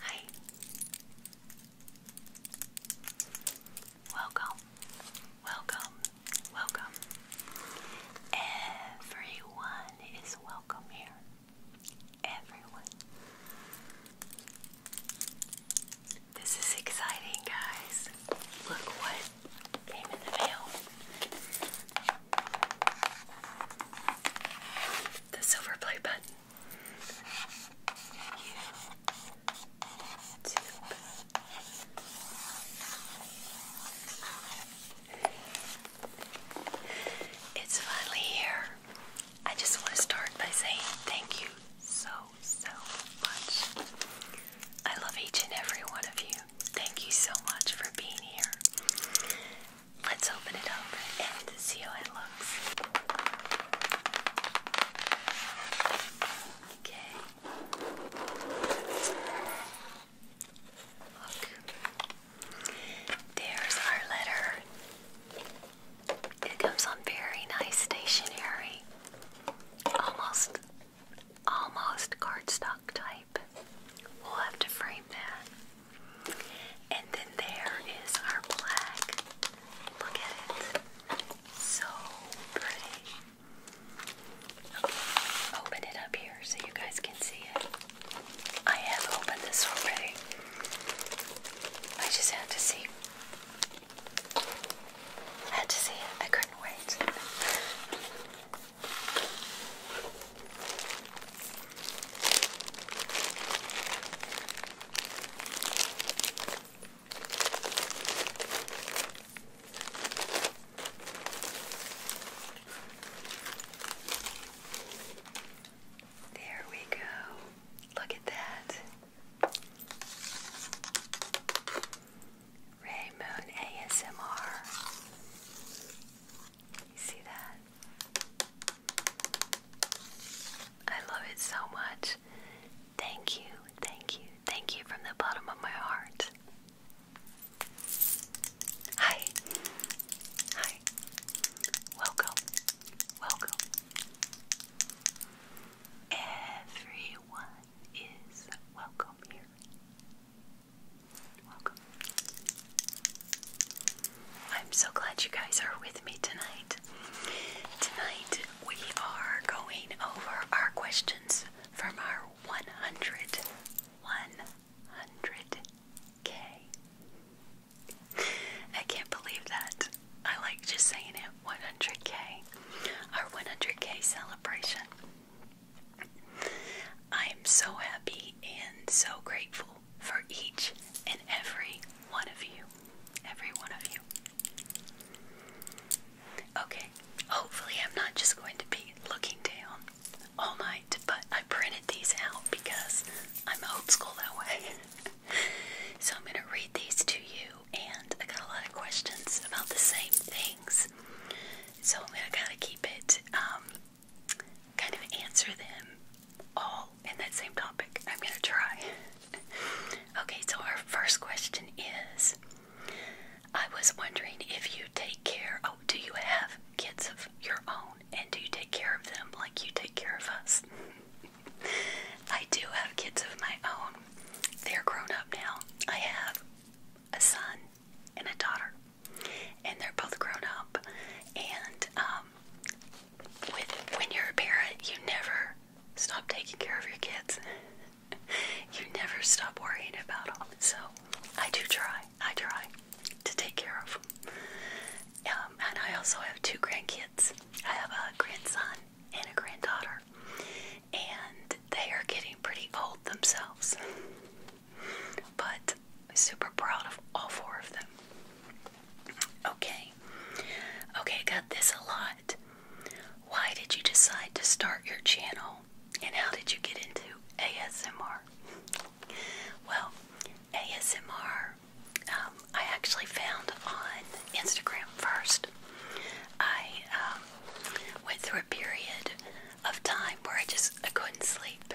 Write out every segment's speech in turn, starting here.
Hi. Welcome. Welcome. Welcome. Everyone is welcome here. Everyone. This is exciting, guys. Look what came in the mail. The silver play button. It's finally here. I just want to start by saying thank you so, so much. I love each and every one of you. Thank you so much for being here. Let's open it up and see how it looks. Okay. Look. There's our letter. It comes on very nice stationery. Almost almost cardstock type. We'll have to frame that. And then there is our black. Look at it. So pretty. open it up here so you guys can see it. I have opened this already. I just had to see. had to see it. I couldn't wait. There we go. Look at that. Ray Moon ASMR. You see that? I love it so much. Thank you, thank you, thank you from the bottom of my heart. Hi, hi, welcome, welcome. Everyone is welcome here. I'm so glad you guys are with me tonight. Tonight we are going over our questions from our 100 100k. I can't believe that. I like just saying it 100k. Our 100k celebration. I am so happy and so grateful for each and every one of you. Every one of you. Okay, hopefully, I'm not just going to be looking down all night, but I printed these out because I'm old school that way. so, I'm going to read these to you, and I got a lot of questions about the same things. So, I'm going to kind of keep it, um, kind of answer them all in that same topic. I'm going to try. okay, so our first question is I was wondering if you take care. Oh, do you have kids of your own? And do you take care of them like you take care of us? I do have kids of my own. They're grown up now. I have a son and a daughter, and they're both grown up. And um, when you're a parent, you never stop taking care of your kids. you never stop worrying about them. So I do try. I try to take care of them. Um, and I also have two grandkids. I have a grandson and a granddaughter, and they are getting pretty old themselves. but super proud of all four of them. Okay. Okay, I got this a lot. Why did you decide to start your channel and how did you get into ASMR? Well, ASMR, um, I actually found on Instagram first. I um, went through a period of time where I just I couldn't sleep,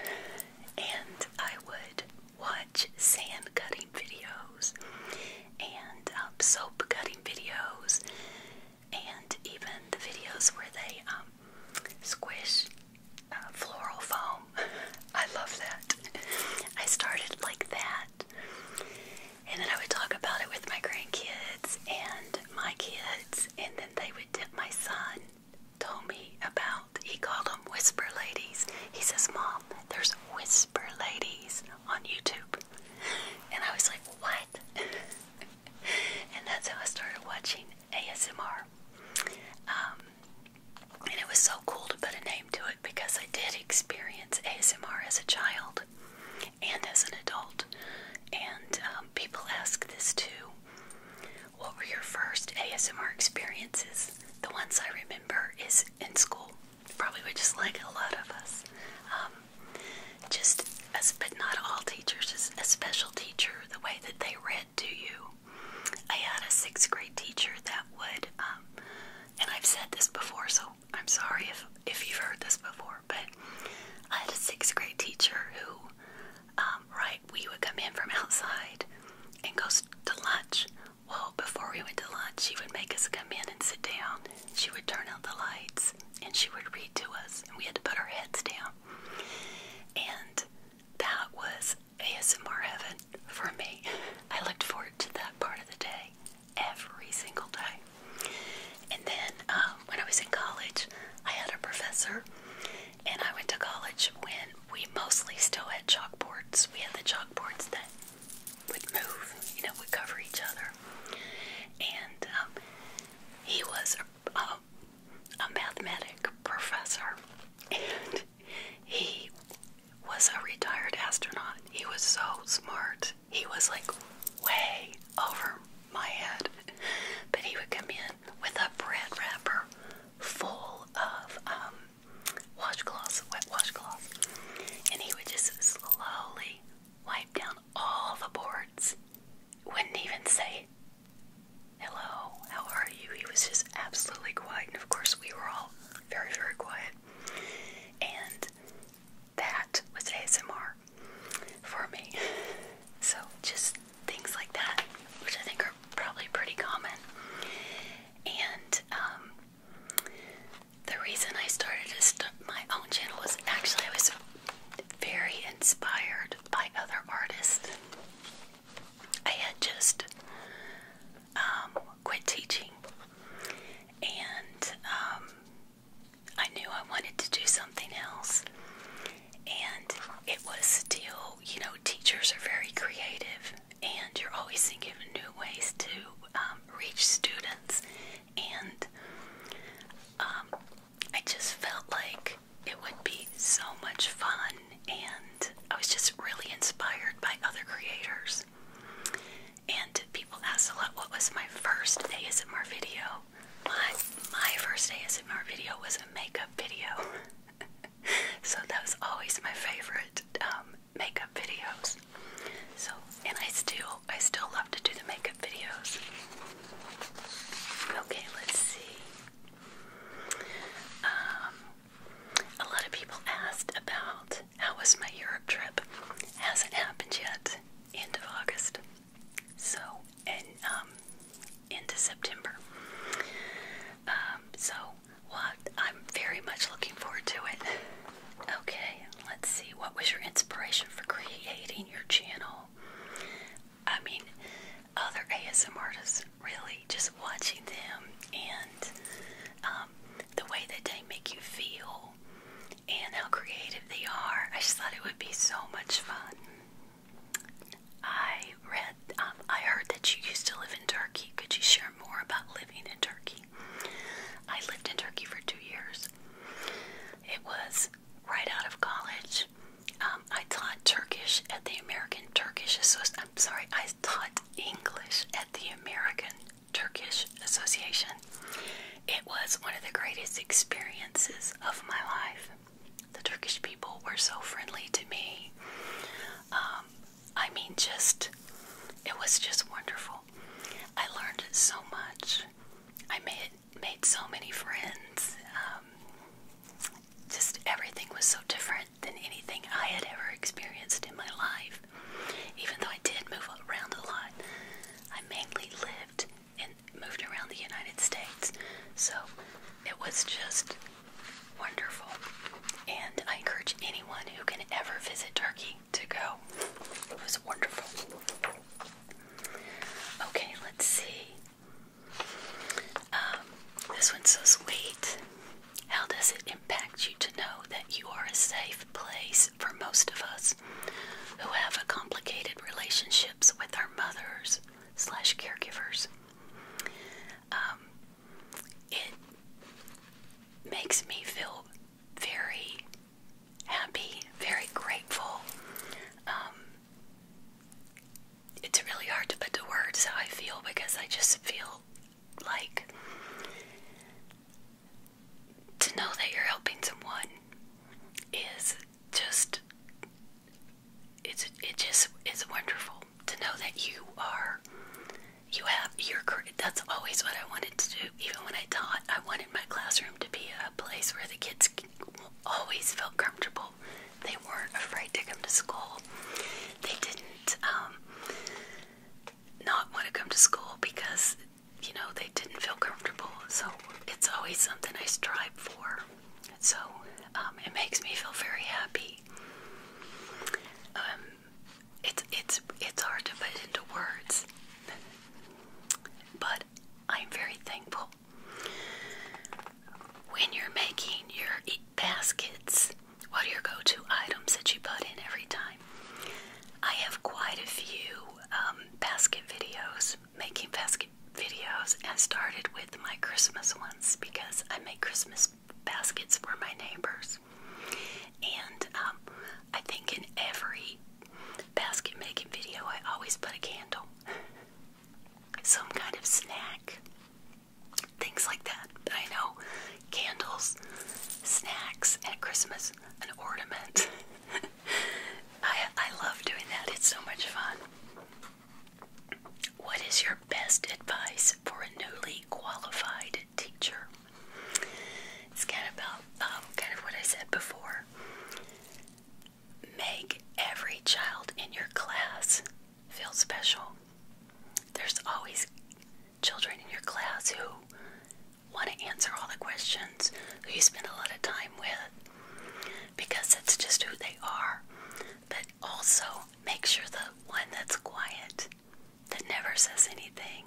and I would watch sand cutting videos and um, soap cutting videos and even the videos where they um, squish uh, floral foam. I love that. I started like that. And then I would talk about it with my grandkids and my kids, and then they would tip my son. Told me about, he called them whisper ladies. He says, Mom, there's Whisper Ladies on YouTube. And I was like, what? and that's how I started watching ASMR. Um, and it was so cool to put a name to it because I did experience ASMR as a child and as an adult. And um, people ask this too. What were your first ASMR experiences? The ones I remember is in school probably were just like a lot of us. Um, just as, but not all teachers, just a special teacher, the way that they read to you. I had a sixth grade teacher that would, um, and I've said this before, so I'm sorry if, if you've heard this before, but I had a sixth grade teacher who, um, right, we would come in from outside and go to lunch well, before we went to lunch, she would make us come in and sit down. She would turn out the lights and she would read to us, and we had to put our heads down. And that was ASMR heaven for me. I looked forward to that part of the day every single day. And then um, when I was in college, I had a professor, and I went to college when we mostly still had chalkboards. We had the chalkboards that would move. You know, would cover each other. And um, he was a, mathematic professor, and he was a retired astronaut. He was so smart. He was like way over my head. But he would come in with a bread wrapper full of um, washcloths, wet washcloths, and he would just slowly wipe down all the boards. Wouldn't even say, Hello, how are you? He was just absolutely quiet, and of course, we were all very, very quiet. And that was ASMR for me. So, just things like that, which I think are probably pretty common. And um, the reason I started my own channel was actually I was very inspired by other artists. I had just um, quit teaching, and um, I knew I wanted to do something else. And it was still, you know, teachers are very creative, and you're always thinking of new ways to um, reach students. And um, I just felt like it would be so much fun, and I was just really inspired by other creators. And people asked a lot, what was my first ASMR video? My my first ASMR video was a makeup video, so that was always my favorite um, makeup videos. So, and I still, I still love to do the makeup videos. Okay, let's see. Um, a lot of people asked about how was my Europe trip. Hasn't happened yet. End of August. So, and um, into September. Um, so well, I'm very much looking forward to it. Okay, let's see. What was your inspiration for creating your channel? I mean, other ASM artists, really, just watching them and um, the way that they make you feel and how creative they are. I just thought it would be so much fun. I read, um, I heard that you used to live in Turkey. Could you share more about living in Turkey? I lived in Turkey for two years. It was right out of college. Um, I taught Turkish at the American Turkish Association. I'm sorry, I taught English at the American Turkish Association. It was one of the greatest experiences of my life. The Turkish people were so friendly to me. Um, I mean, just, it was just wonderful. I learned so much. I made, made so many friends. Um, just everything was so different than anything I had ever experienced in my life. Even though I did move around a lot, I mainly lived and moved around the United States. So it was just wonderful. And I encourage anyone who can ever visit Turkey to go. It was wonderful. Okay, let's see. Um, this one says, wait. How does it impact you to know that you are a safe place for most of us who have a complicated relationships with our mothers slash caregivers? Um, it makes me feel very happy, very grateful. Um, it's really hard to put to words how I feel because I just feel like to know that you're helping someone is just it's it just is wonderful to know that you are you have your that's always what I wanted to do. Even when I taught, I wanted my classroom to be a place where the kids always felt comfortable. They weren't afraid to come to school. They didn't um, not want to come to school because you know they didn't feel comfortable. So it's always something I strive for. So um, it makes me feel very happy. Um, it's it's it's hard to put into words. But I'm very thankful. When you're making your baskets, what are your go-to items that you put in every time? I have quite a few um, basket videos, making basket videos, and started with my Christmas ones because I make Christmas baskets for my neighbors. And um, I think in every basket making video, I always put a candle, some kind of snack, things like that. But I know candles, snacks and Christmas, an ornament. I, I love doing that, it's so much fun. What is your best advice for a newly qualified teacher? It's kind of about um, kind of what I said before. Make every child in your class feel special. There's always children in your class who want to answer all the questions, who you spend a lot of time with, because that's just who they are. But also make sure the one that's quiet that never says anything.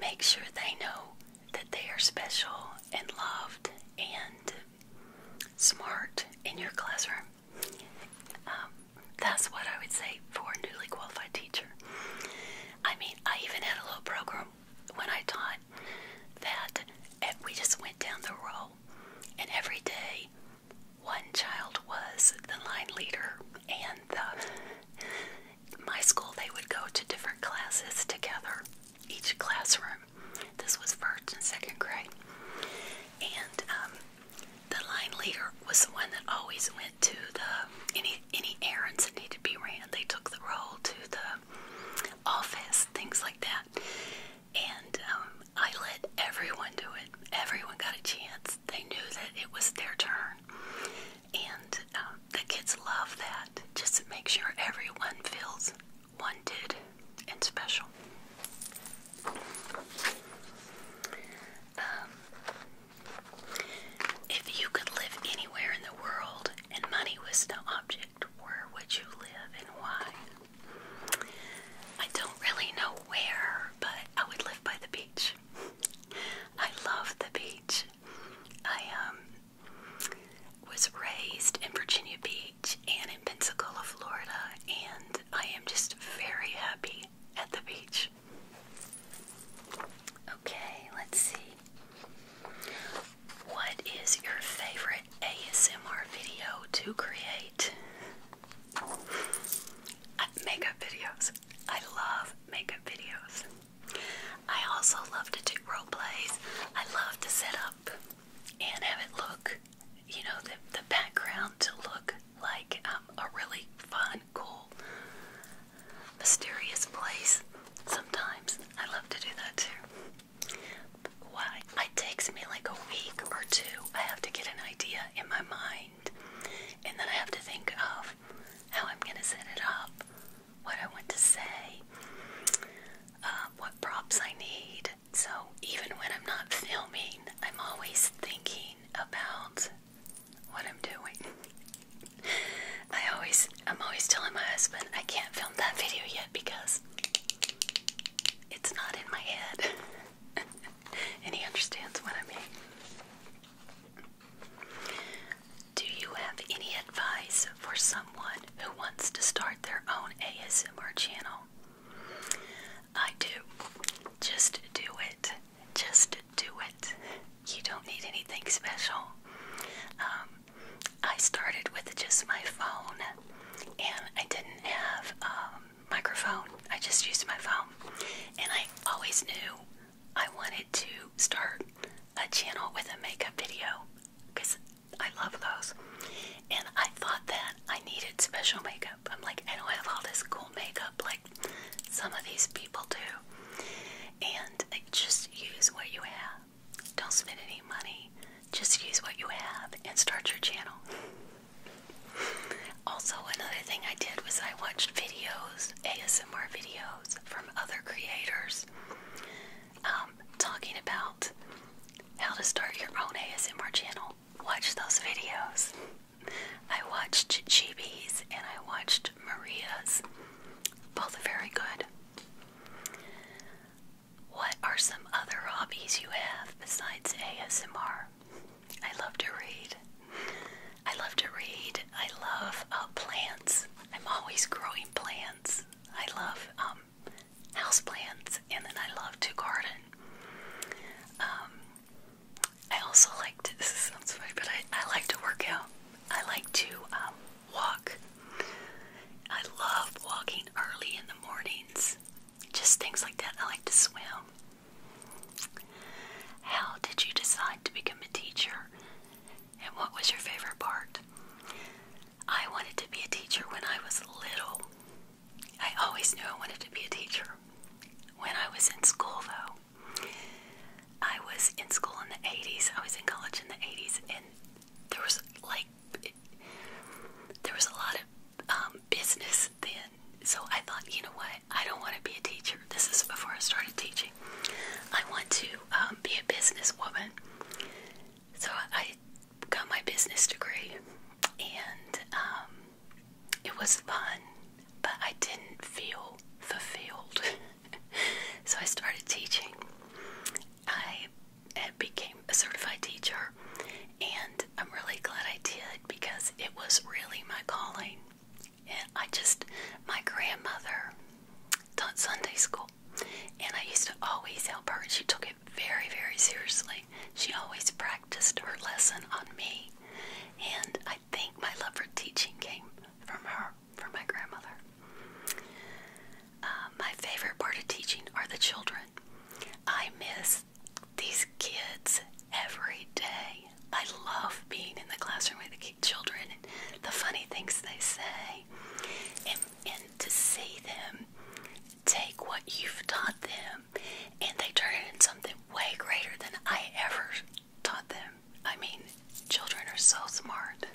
Make sure they know that they are special and loved and smart in your classroom. Um, that's what I would say for a newly qualified teacher. I mean, I even had a little program when I taught that we just went down the row, and every day one child was the line leader and the my school, they would go to different classes together, each classroom. This was first and second grade. And um, the line leader was the one that always went to the any any errands that needed to be ran. They took the role to the office, things like that. And um, I let everyone do it. Everyone got a chance. They knew that it was their turn. And um, the kids love that just to make sure everyone feels wanted and special. Um, if you could live anywhere in the world and money was no object, where would you live and why? I don't really know where, but I would live by the beach. I love the beach. I um was raised in Virginia Beach and in Pensacola, Florida, and I am just very happy at the beach. Okay, let's see. What is your favorite ASMR video to create? Makeup videos. I love makeup videos. I also love to do role plays. I love to set up and have it look, you know, the, the background to look like um, a really fun, cool, mysterious place. Sometimes I love to do that too. Why? It takes me like a week or two. I have to get an idea in my mind, and then I have to think of how I'm going to set it up, what I want to say, um, what props I need. So even when I'm not filming, I'm always thinking about what I'm doing. I always, I'm always telling my husband I can't film that video yet because it's not in my head, and he understands what I mean. Do you have any advice for someone who wants to start their own ASMR channel? I do. Just do it. Just do it. You don't need anything special. Um, I started with just my phone, and I didn't have a um, microphone. I just used my phone, and I always knew I wanted to start a channel with a makeup video because I love those. And I thought that I needed special makeup. I'm like, I don't have all this cool makeup like some of these people do. And just use what you have. Don't spend any money. Just use what you have and start your channel. also, another thing I did was I watched videos, ASMR videos from other creators videos um, talking about how to start your own ASMR channel. Watch those videos. I watched Chibi's and I watched Maria's. Both very good. What are some other hobbies you have besides ASMR? I love to read. I love to read. I love uh, plants. I'm always growing plants. I love um, houseplants, and then I love to garden. Um, I also like to. This sounds funny, but I, like to work out. I like to um, walk. I love walking early in the mornings. Just things like that. I like to swim. How did you decide to become a teacher? And what was your favorite part? I wanted to be a teacher when I was little. I always knew I wanted to be a teacher. When I was in school, though, I was in school in the 80s. I was in college in the 80s, and there was like there was a lot of um, business then. So I thought, you know what? I don't want to be a teacher. This is before I started teaching. I want to um, be a businesswoman. So I got my business degree, and um, it was fun, but I didn't feel fulfilled. so I started teaching. I became a certified teacher, and I'm really glad I did because it was really my calling. And I just, my grandmother Taught Sunday school, and I used to always help her. And she took it very, very seriously. She always practiced her lesson on me, and I think my love for teaching came from her, from my grandmother. Uh, my favorite part of teaching are the children. I miss these kids every day. I love being in the classroom with the children and the funny things they say, and, and to see them take what you've taught them and they turn it into something way greater than I ever taught them. I mean, children are so smart.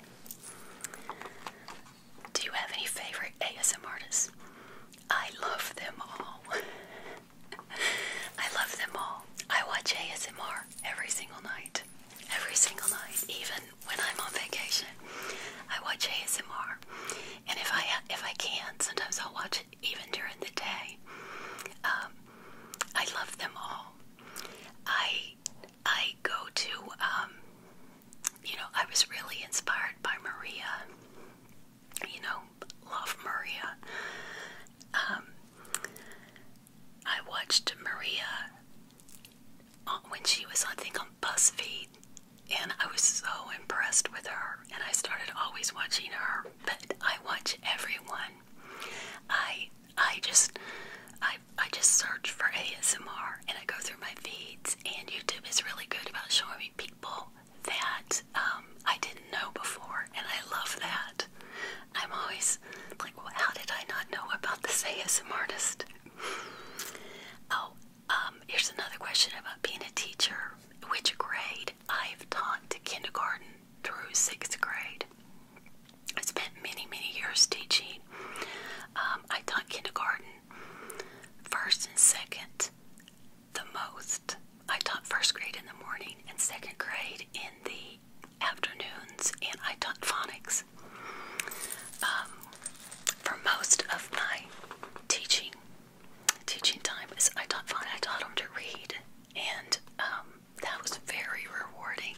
Do you have any favorite ASMR artists? I love them all. I love them all. I watch ASMR every single night. Every single night, even when I'm on vacation, I watch ASMR. And if I if I can, sometimes I'll watch it even during the day. Um, I love them all. I I go to um, you know I was really inspired by Maria. You know, love Maria. Um, I watched Maria uh, when she was, I think, on BuzzFeed, and I was so impressed with her, and I started always watching her. But I watch everyone. I I just I I just search for ASMR, and I go through my feeds, and YouTube is really good about showing me people that um, I didn't know before, and I love that. I'm always like, well, how did I not know about this ASM artist? oh, um, here's another question about being a teacher. Which grade I've taught to kindergarten through sixth grade. I spent many, many years teaching. Um, I taught kindergarten, first and second, the most. I taught first grade in the morning and second grade in the afternoons, and I taught phonics. Um, for most of my teaching, teaching time is I taught phonics. I taught them to read, and um, that was very rewarding.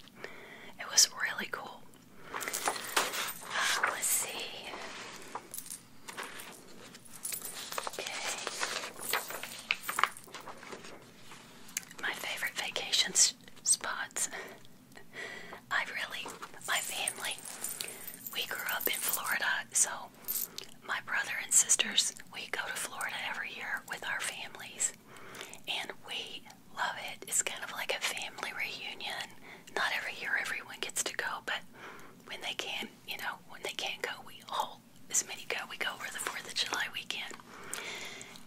It was really cool. Uh, let's see. Okay. My favorite vacation spots. I really, my family, we grew up in Florida, so my brother and sisters, we go to Florida every year with our families, and we love it. It's kind of like a family reunion. Not every year everyone gets to go, but when they can, you know, when they can't go, we all, as many go, we go over the 4th of July weekend,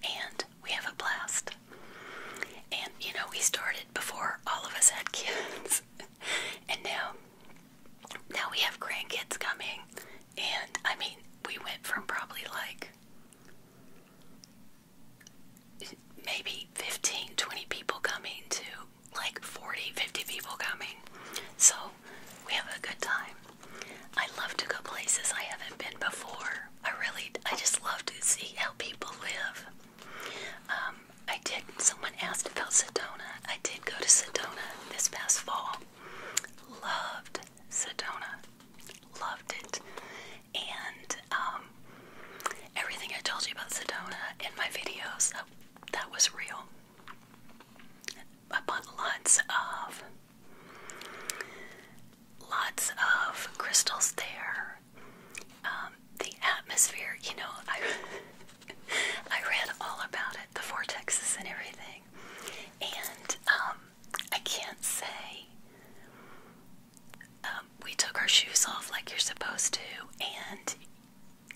and we have a blast. And you know, we started before all of us had kids. and now now we have grandkids coming. And I mean, we went from probably like maybe 15, 20 people coming to like 40, 50 people coming. So we have a good time. I love to go places I haven't been before. I really, I just love to see how people live. Um, I did, someone asked about Sedona. I did go to Sedona this past fall. Loved Sedona. Loved it. And um, everything I told you about Sedona in my videos, that, that was real. I bought lots of lots of crystals there um, the atmosphere, you know, I I read all about it, the vortexes and everything, and um, I can't say um, we took our shoes off like you're supposed to, and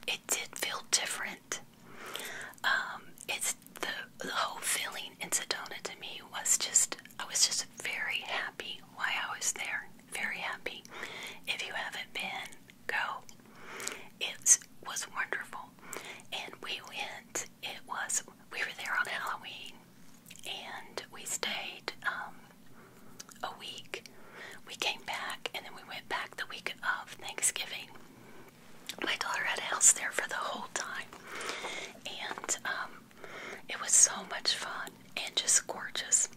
it did feel different. it's the the whole feeling in Sedona to me was just I was just very happy why I was there. Very happy. If you haven't been, go. It was wonderful. And we went, it was, we were there on Halloween and we stayed um, a week. We came back and then we went back the week of Thanksgiving. My daughter had a house there for the whole time. And um, it was so much fun and just gorgeous.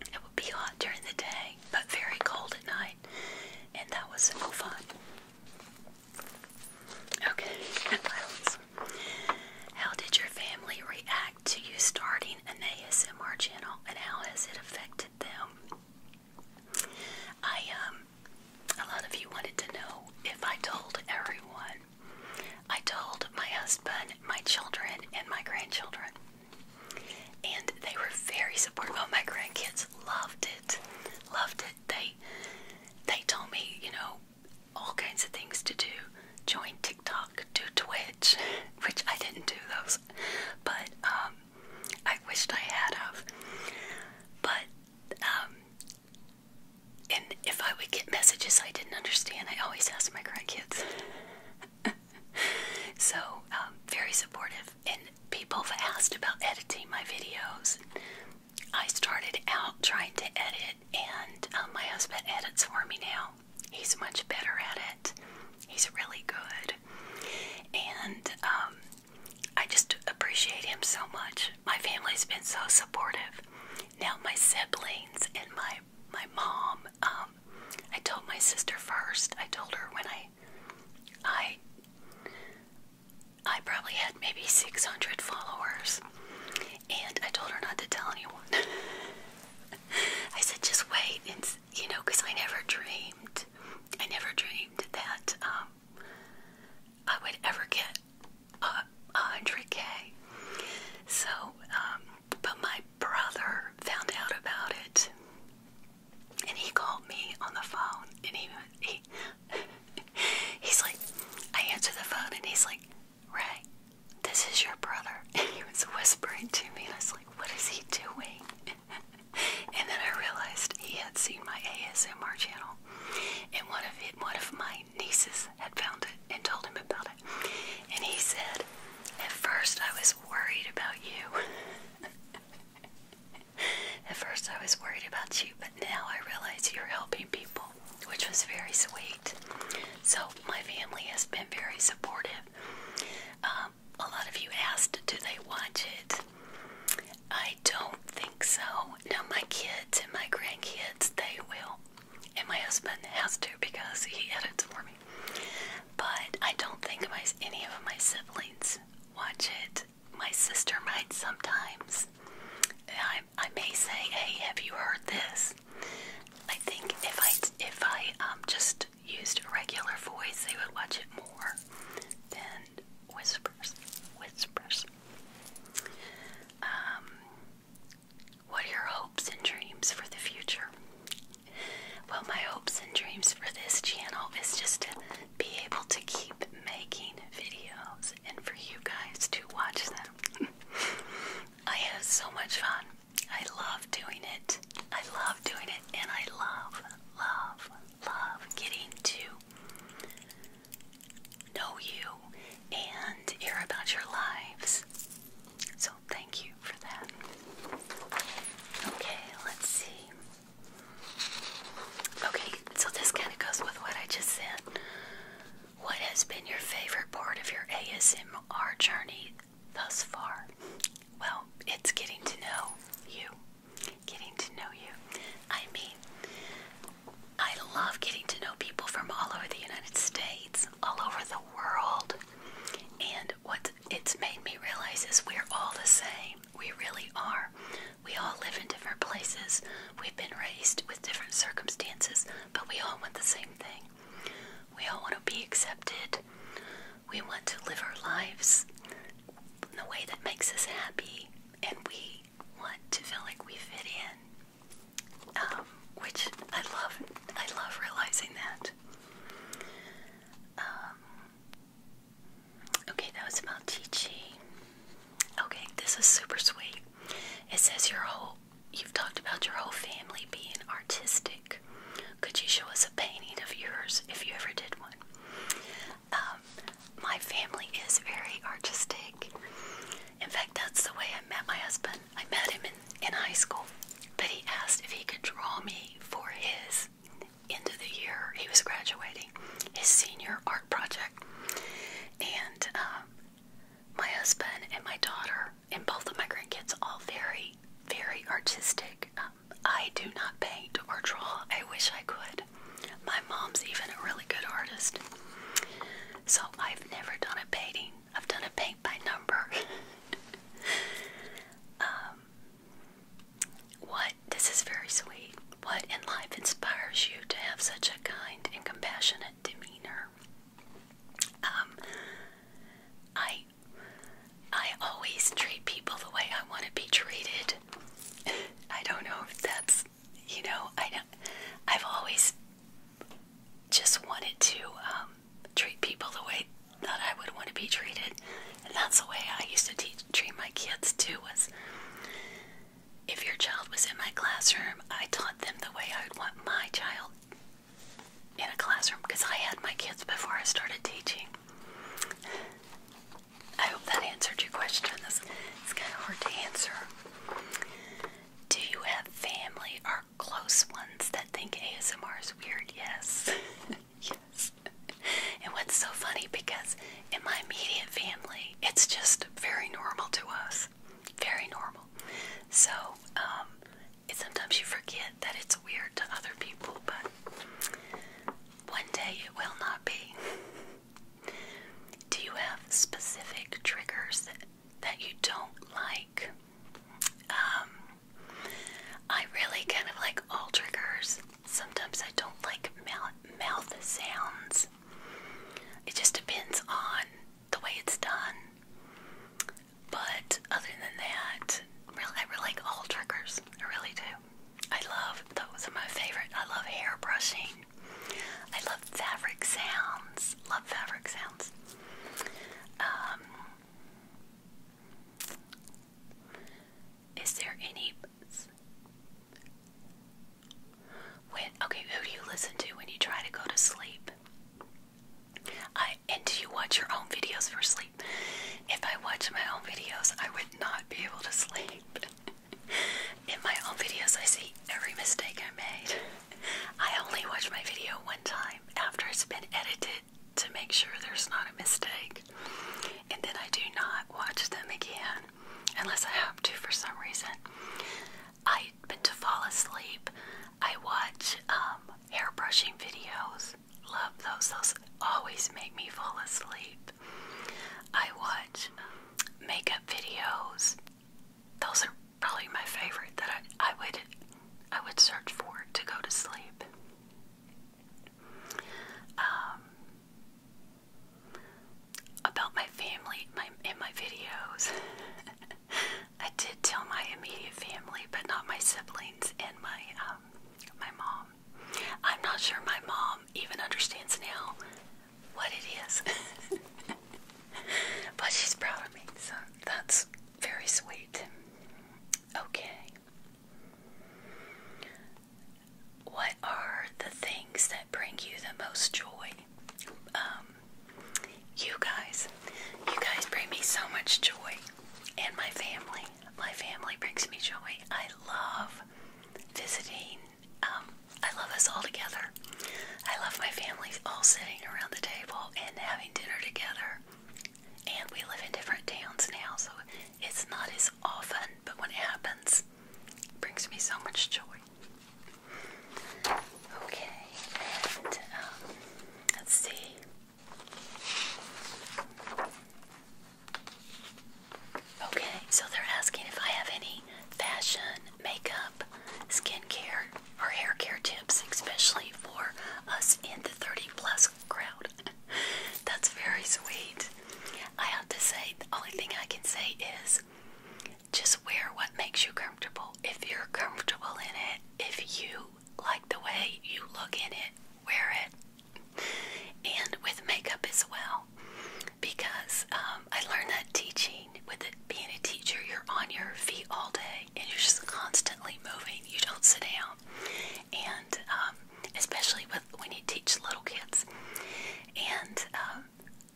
It would be hot during the day, but very cold at night, and that was so fun. Okay, how did your family react to you starting an ASMR channel, and how has it affected them? I um, a lot of you wanted to know if I told everyone I told my husband, my children, and my grandchildren. And they were very supportive. Oh, my grandkids loved it. Loved it. They they told me, you know, all kinds of things to do. Join TikTok, do Twitch, which I didn't do those, but um, I wished I had of. But um, and if I would get messages I didn't understand, I always ask my grandkids. so, um, very supportive. And people have asked about editing my videos. I started out trying to edit, and um, my husband edits for me now. He's much better at it, he's really good. And um, I just appreciate him so much. My family's been so supportive. Now, my siblings and my my mom. Um, I told my sister first. I told her when I, I, I probably had maybe 600 followers, and I told her not to tell anyone. I said just wait, and you know, because I never dreamed, I never dreamed that um, I would ever get uh, 100k. So, um, but my brother found out about it, and he called me on the phone, and he he's like, I answer the phone, and he's like, Ray, this is your brother. And he was whispering to me, and I was like, What is he doing? and then I realized he had seen my ASMR channel, and one of one of my nieces had found it and told him about it. And he said, At first I was worried about you. At first I was worried about you, but now I realize you're helping people, which was very sweet. So my family has been very supportive. Um, a lot of you asked, do they watch it? I don't think so. Now my kids and my grandkids, they will and my husband has to because he edits for me. But I don't think my any of my siblings watch it. My sister might sometimes. I I may say, "Hey, have you heard this?" I think if I if I um just used regular voice, they would watch it more than whispers. Whispers. Um, what are your hopes and dreams for the future? Well, my hopes and dreams for this channel is just to be able to keep making videos and for you guys to watch them. I have so much fun. I love doing it. I love doing it and I love, love, love getting to know you and hear about your lives. So thank you for that. Okay, let's see. Okay, so this kind of goes with what I just said. What has been your favorite part of your ASMR journey thus far? Well, it's getting to know you. Getting to know you. I mean, I love getting to know people from all over the United States all over the world. And what it's made me realize is we're all the same. We really are. We all live in different places. We've been raised with different circumstances, but we all want the same thing. We all want to be accepted. We want to live our lives in the way that makes us happy, and we want to feel like we fit in. Um, which I love. I love realizing that. Um, okay, that was about Chi Chi. Okay, this is super sweet. It says your whole. You've talked about your whole family being artistic. Could you show us a painting of yours if you ever did one? Um, my family is very artistic. In fact, that's the way I met my husband. I met him in, in high school, but he asked if he could draw me for his end of the year he was graduating, his senior art project. And um, my husband and my daughter and both of my grandkids, all very, very artistic. Um, I do not paint or draw. I wish I could. My mom's even a really good artist. So I've never done a painting I've done a paint by number. Um, what, this is very sweet. What in life inspires you to have such a kind and compassionate demeanor? Um, I, I always treat people the way I want to be treated. I don't know if that's, you know, I don't, I've always just wanted to um, treat people the way that I would want to be treated, and that's the way I used to teach, treat my kids too. Was if your child was in my classroom, I taught them the way I would want my child in a classroom because I had my kids before I started teaching. I hope that answered your question. it's kind of hard to answer. Do you have family or close ones that think ASMR is weird, yes. yes. And what's so funny because in my immediate family, it's just very normal to us. Very normal. So, um, sometimes you forget that it's weird to other people, but one day it will not be. Do you have specific triggers that that you don't like. Um, I really kind of like all triggers. Sometimes I don't like mouth, sounds. It just depends on the way it's done. But other than that, really, I really like all triggers. I really do. I love, those are my favorite. I love hair brushing. I love fabric sounds. Love fabric sounds. Um, is there any when okay, who do you listen to when you try to go to sleep? I and do you watch your own videos for sleep? If I watch my own videos, I would not be able to sleep. In my own videos, I see every mistake I made. I only watch my video one time after it's been edited to make sure there's not a mistake. And then I do not watch them again unless I have to for some reason. I but to fall asleep, I watch um, hair brushing videos. Love those. Those always make me fall asleep. I watch um, makeup videos. Those are probably my favorite that I, I would I would search for to go to sleep. Um, about my family my, in my videos. I did tell my immediate family, but not my siblings and my um, my mom. I'm not sure my mom even understands now what it is, but she's proud of me. So that's very sweet. Okay. What are the things that bring you the most joy? Um, you guys. You guys bring me so much joy. And my family. My family brings me joy. I love visiting. Um, I love us all together. I love my family all sitting around the table and having dinner together and we live in different towns now, so it's not as often, but when it happens, it brings me so much joy. Okay, and um, let's see. Okay, so they're asking if I have any fashion, makeup, skincare or hair care tips, especially for us in the 30 plus crowd. That's very sweet. I have to say, the only thing I can say is just wear what makes you comfortable. If you're comfortable in it, if you like the way you look in it, wear it. And with makeup as well, because um, I learned that teaching with being a teacher, you're on your feet all day and you're just constantly moving line. You don't sit down, and um, especially with when you teach little kids. And um,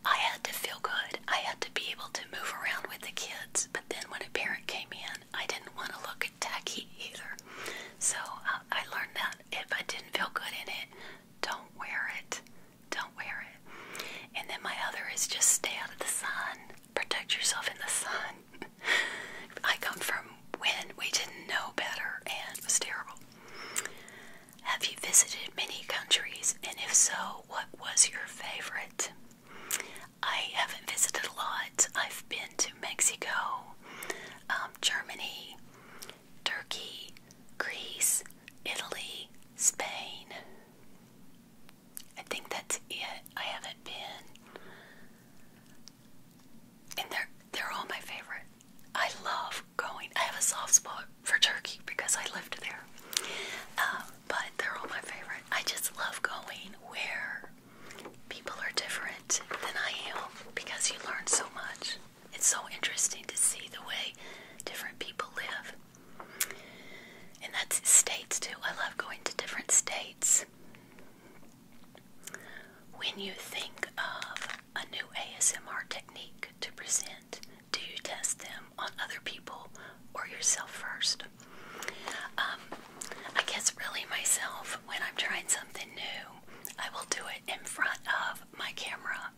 I had to feel good. I had to be able to move around with the kids. But then when a parent came in, I didn't want to look tacky either. So uh, I learned that if I didn't feel good in it, don't wear it. Don't wear it. And then my other is just stay out of the sun. Protect yourself in the sun. I come from when we didn't know better and it was terrible. Have you visited many countries? And if so, what was your favorite? I haven't visited a lot. I've been to Mexico, um, Germany, Turkey, Greece, Italy, Spain. I think that's it. I haven't been, and they're they're all my favorite. I love going. I have a soft spot for Turkey because I lived there, um, but they're all my favorite. I just love going where people are different than I am because you learn so much. It's so interesting to see the way different people live. And that's states too. I love going to different states. When you think of a new ASMR technique to present, do you test them on other people or yourself first? Um, I guess really myself, when I'm trying something new, I will do it in front of my camera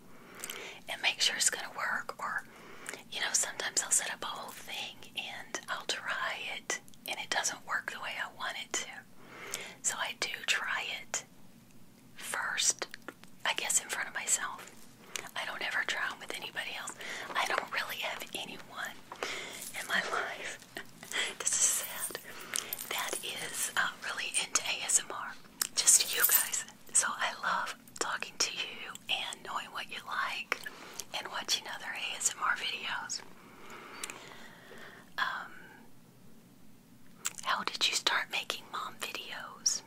and make sure it's going to work. Or, you know, sometimes I'll set up a whole thing and I'll try it and it doesn't work the way I want it to. So I do try it first, I guess, in front of myself. I don't ever try them with anybody else. I don't really have anyone in my life. this is sad. That is uh, really into ASMR. Just you guys. So I love talking to you and knowing what you like and watching other ASMR videos. Um, how did you start making mom videos?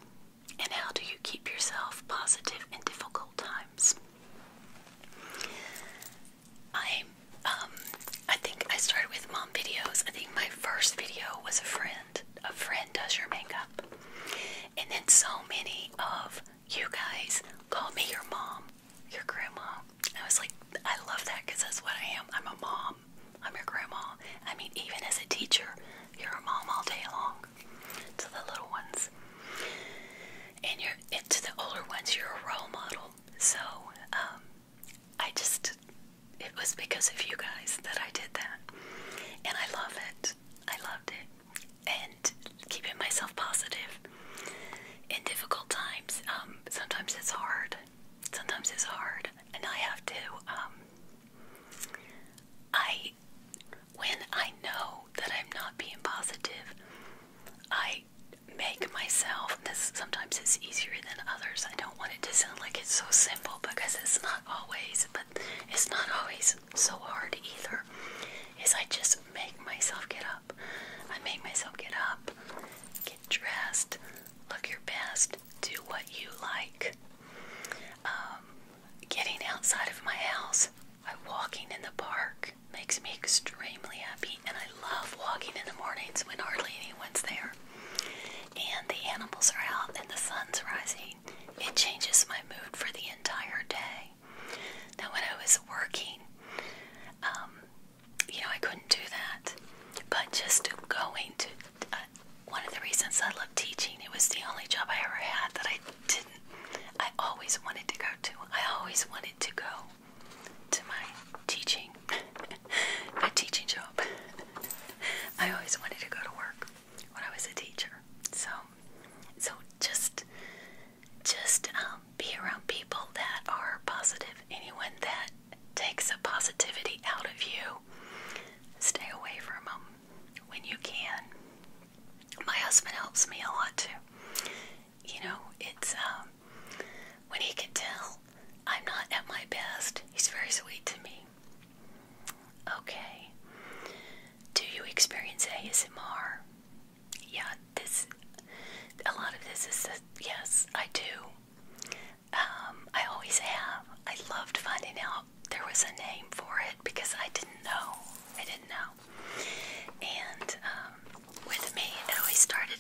And how do you keep yourself positive in difficult times? I, um, I think I started with mom videos. I think my first video was a friend. A friend does your makeup. And then so many of you guys, call me your mom, your grandma. I was like, I love that because that's what I am. I'm a mom. I'm your grandma. I mean, even as a teacher, you're a mom all day long to the little ones, and you're and to the older ones. You're a role model. So, um, I just it was because of you guys that I did that, and I love it. I loved it. And keeping myself positive in difficult times. Um, sometimes it's hard. Sometimes it's hard, and I have to. Um, I, when I know that I'm not being positive, I make myself. This sometimes it's easier than others. I don't want it to sound like it's so simple because it's not always. But it's not always so hard either. Is I just make myself get up. I make myself get up, get dressed, look your best, do what you like. Um, getting outside of my house by walking in the park makes me extremely happy, and I love walking in the mornings when hardly anyone's there. And the animals are out and the sun's rising. It changes my mood for the entire day day. Now, when I was working, um, you know, I couldn't do that. But just going to uh, one of the reasons I love teaching, it was the only job I ever had that I didn't, I always wanted to go to. I always wanted to go to my teaching, my teaching job. I always wanted to go to work when I was a teacher. So, so just just um, be around people that are positive. Anyone that takes a positivity out of you, stay away from them when you can. My husband helps me a lot too. You know, it's um, when he can tell I'm not at my best, he's very sweet to me. Okay. Do you experience ASMR? yeah, this a lot of this is yes, I do. Um, I always have. I loved finding out there was a name for it because I didn't know. I didn't know. And um, with me, it always started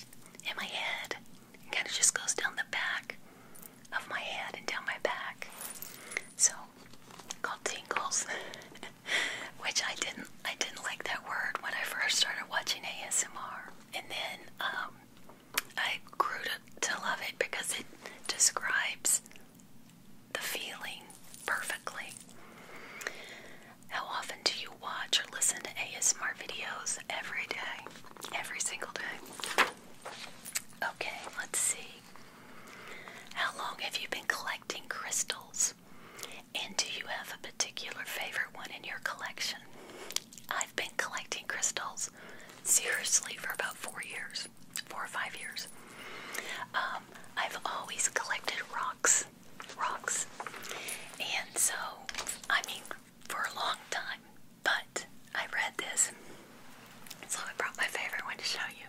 in my head. It kind of just goes down the back of my head and down my back. So, called tingles. which I didn't I didn't like that word when I first started watching ASMR, and then um, I grew to love it because it describes the feeling perfectly. How often do you watch or listen to ASMR videos every day? Every single day. Okay, let's see. How long have you been collecting crystals? And do you have a particular favorite one in your collection? I've been collecting crystals seriously for about four years, four or five years. Um, I've always collected rocks, rocks, and so I mean for a long time. But I read this, so I brought my favorite one to show you.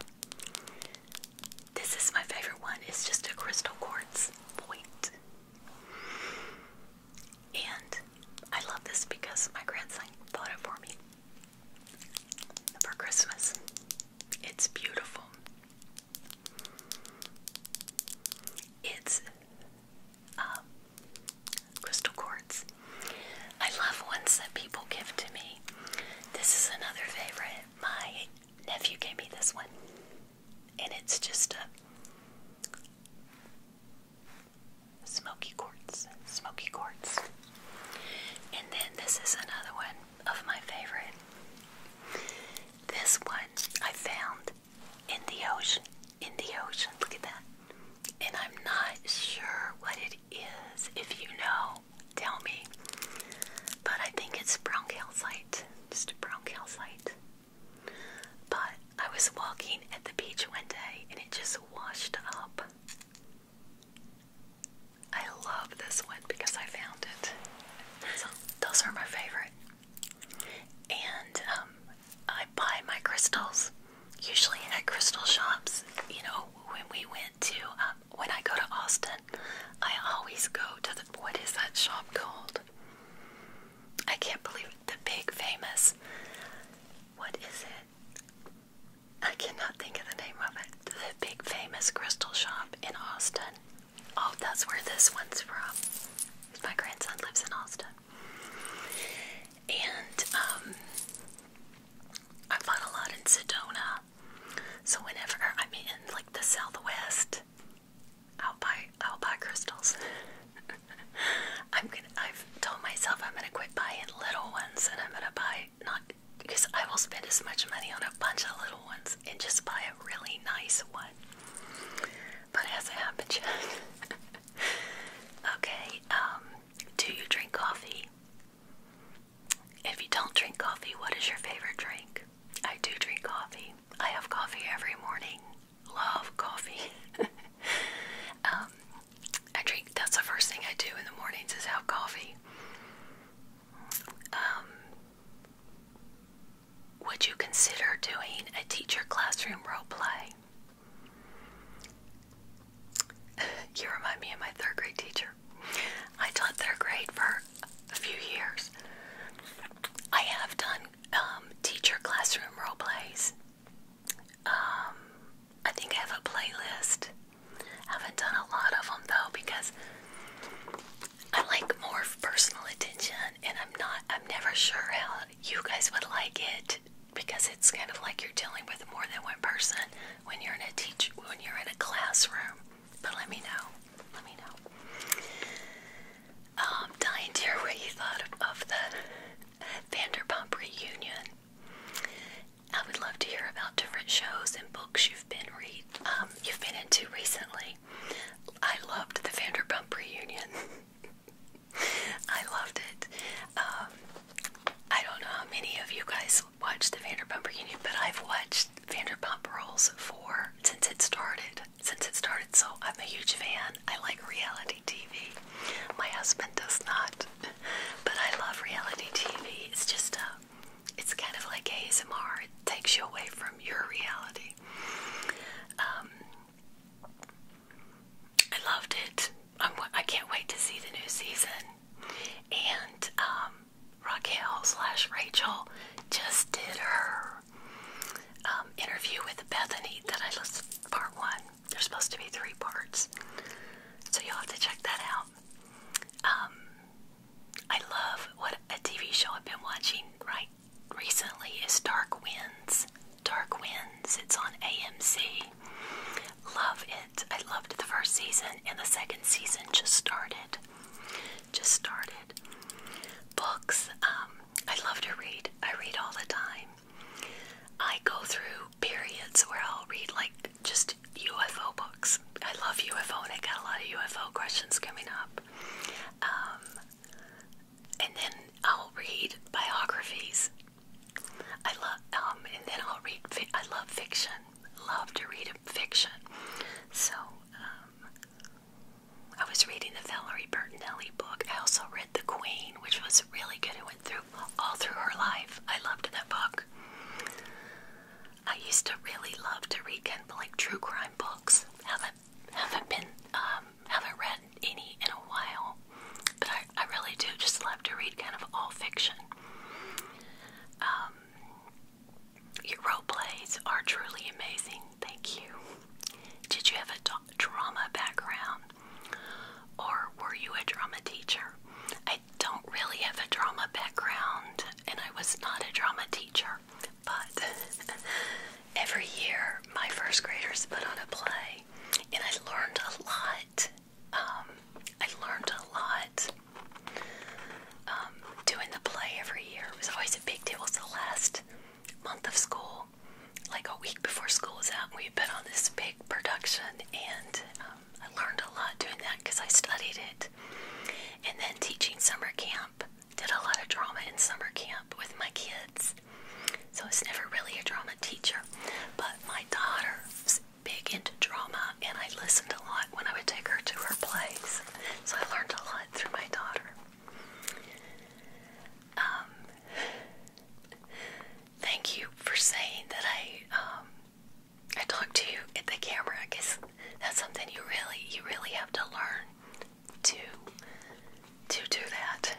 This is my favorite one. It's just a crystal quartz point. And I love this because my grandson bought it for me for Christmas. It's beautiful. It's um, crystal quartz. I love ones that people give to me. This is another favorite. My nephew gave me this one, and it's just a smoky quartz, smoky quartz. And then this is another one of my favorite. This one I found in the ocean, in the ocean. Look at that. And I'm not sure what it is. If you know, tell me. But I think it's brown calcite, just a brown calcite. But I was walking at the beach one day and it just washed up. I love this one because I found it. So those are my favorite. And um, I buy my crystals usually at crystal shops. You know, when we went to, um, when I go to Austin, I always go to the, what is that shop called? I can't believe The big famous. What is it? I cannot think of the name of it. The big famous crystal shop in Austin. Oh, that's where this one's from. My grandson lives in Austin. And um, I fought a lot in Sedona. So whenever I'm in like the Southwest, I'll buy I'll buy crystals. I'm gonna I've told myself I'm gonna quit buying little ones and I'm gonna buy not because I will spend as much money on a bunch of little ones and just buy a really nice one. But it has okay, um, do you drink coffee? If you don't drink coffee, what is your favorite drink? I do drink coffee. I have coffee every morning love coffee. I drink, um, that's the first thing I do in the mornings is have coffee. Um, would you consider doing a teacher classroom role play? you remind me of my third grade teacher. I taught third grade for a few years. I have done um, teacher classroom role plays. Um, I think I have a playlist. I haven't done a lot of them though because I like more personal attention, and I'm not. I'm never sure how you guys would like it because it's kind of like you're dealing with more than one person when you're in a teach when you're in a classroom. But let me know. Let me know um, dying to hear what you thought of, the Vanderpump reunion. I would love to hear about different shows and books you've been read, um, you've been into recently. I loved the Vanderpump reunion. I loved it. Um, I don't know how many of you guys watched the Vanderpump reunion, but I've watched Vanderpump Rules for since it started since it started, so I'm a huge fan. I like reality TV. My husband does not, but I love reality TV. It's just a, uh, it's kind of like ASMR. It takes you away from your reality. Um, I loved it. I'm, I can't wait to see the new season. And um, Rachel slash Rachel just did her um, interview with Bethany that I listened part one. There's supposed to be three parts, so you'll have to check that out. Um, I love what a TV show I've been watching right recently is Dark Winds. Dark Winds. It's on AMC. Love it. I loved the first season, and the second season just started. Just started. Books. Um, I love to read. I read all the time. I go through periods where I'll read like just UFO books. I love UFO and I got a lot of UFO questions coming up. Um, and then I'll read biographies. I love, um, and then I'll read, I love fiction. Love to read fiction. So, um, I was reading the Valerie Bertinelli book. I also read The Queen, which was really good. It went through all through her life. I loved that book. I used to really love to read kind of like true crime books. Haven't haven't been um, haven't read any in a while, but I, I really do just love to read kind of all fiction. Um, your role plays are truly amazing. Thank you. Did you have a dog? drama background, or were you a drama teacher? I don't really have a drama background, and I was not a drama teacher, but every year my first graders put on a play, and I learned a lot. Um, I learned a lot um, doing the play every year. It was always a big deal. It was the last month of school, like a week before school was out, we had been on this big production, and um, I learned a lot doing that because I studied it. And then teaching summer camp, did a lot of drama in summer camp with my kids. So I was never really a drama teacher, but my daughter was big into drama, and I listened a lot when I would take her to her plays. So I learned a lot through my daughter. Um, thank you for saying that I um, I talked to you at the camera. I guess that's something you really you really have to learn to to do that.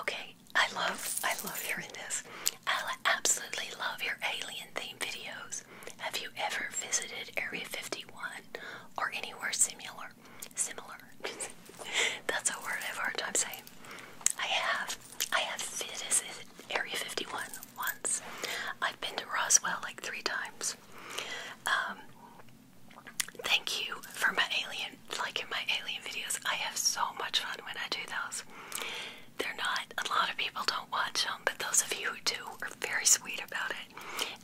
Okay, I love I love hearing this. I absolutely love your alien theme videos. Have you ever visited Area 51 or anywhere similar? similar. That's a word I have a hard time saying. I have. I have visited Area 51 once. I've been to Roswell like three times. Um, thank you for my alien, like in my alien videos. I have so much fun when I do those. They're not, a lot of people don't watch them, but those of you who do are very sweet about it.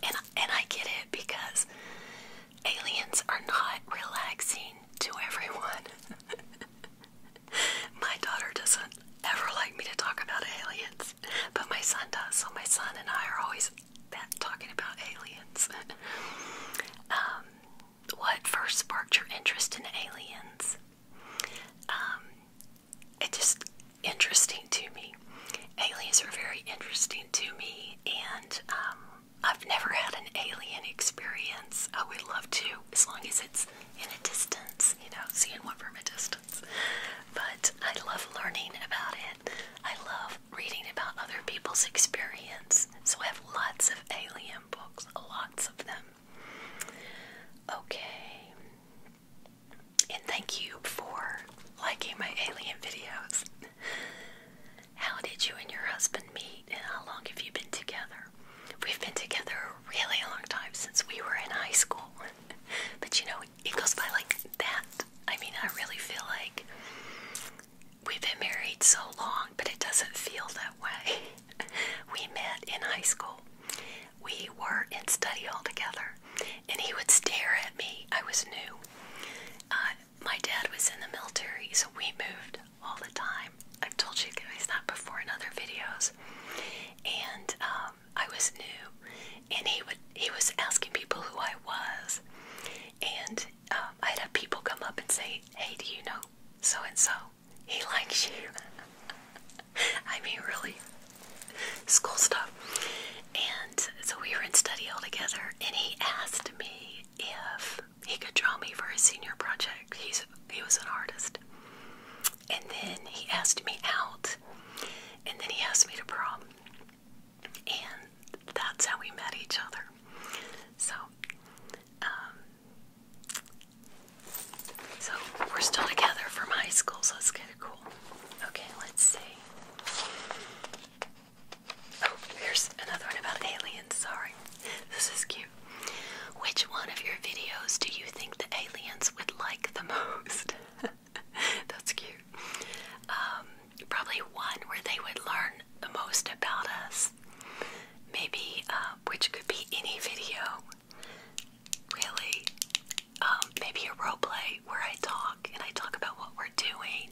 And, and I get it because aliens are not relaxing to everyone. my daughter doesn't ever like me to talk about aliens, but my son does, so my son and I are always that, talking about aliens. Um, what first sparked your interest in aliens? Um, it's just interesting to me. Aliens are very interesting to me, and um, I've never had an alien experience. I would love to, as long as it's in a distance, you know, seeing one from a distance. But I love learning about it. I love reading about other people's experience. So I have lots of alien books, lots of them. Okay. And thank you for liking my alien videos. How did you and your husband meet, and how long have you been together? We've been together a really long time since we were in high school. but you know, it goes by like that. I mean, I really feel like we've been married so long, but it doesn't feel that way. we met in high school. We were in study hall together, and he would stare at me. I was new. Uh, my dad was in the military, so we moved all the time. I've told you guys that before in other videos. And um, I was new, and he would he was asking people who I was, and um, I'd have people come up and say, "Hey, do you know so and so? He likes you." I mean, really, school stuff. And so we were in study all together, and he asked me if he could draw me for his senior project. He's he was an artist. And then he asked me out. And then he asked me to prom. And that's how we met each other. So um, so we're still together from high school, so let's get of cool. Okay, let's see. Oh, here's another one about aliens. Sorry. This is cute. Which one of your videos do you think the aliens would like the most? That's cute. Um, probably one where they would learn the most about us. Maybe, uh, which could be any video, really. Um, maybe a role play where I talk and I talk about what we're doing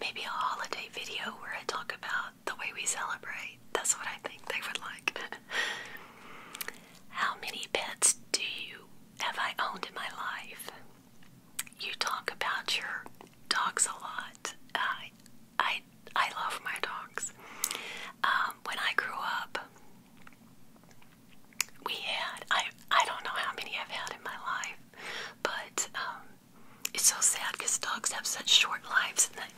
Maybe a holiday video where I talk about the way we celebrate. That's what I think they would like. How many pets do you have I owned in my life? You talk about your dogs a lot. I, I, I love my dogs. Um, when I grew up, we had I I don't know how many I've had in my life, but um, it's so sad because dogs have such short lives, and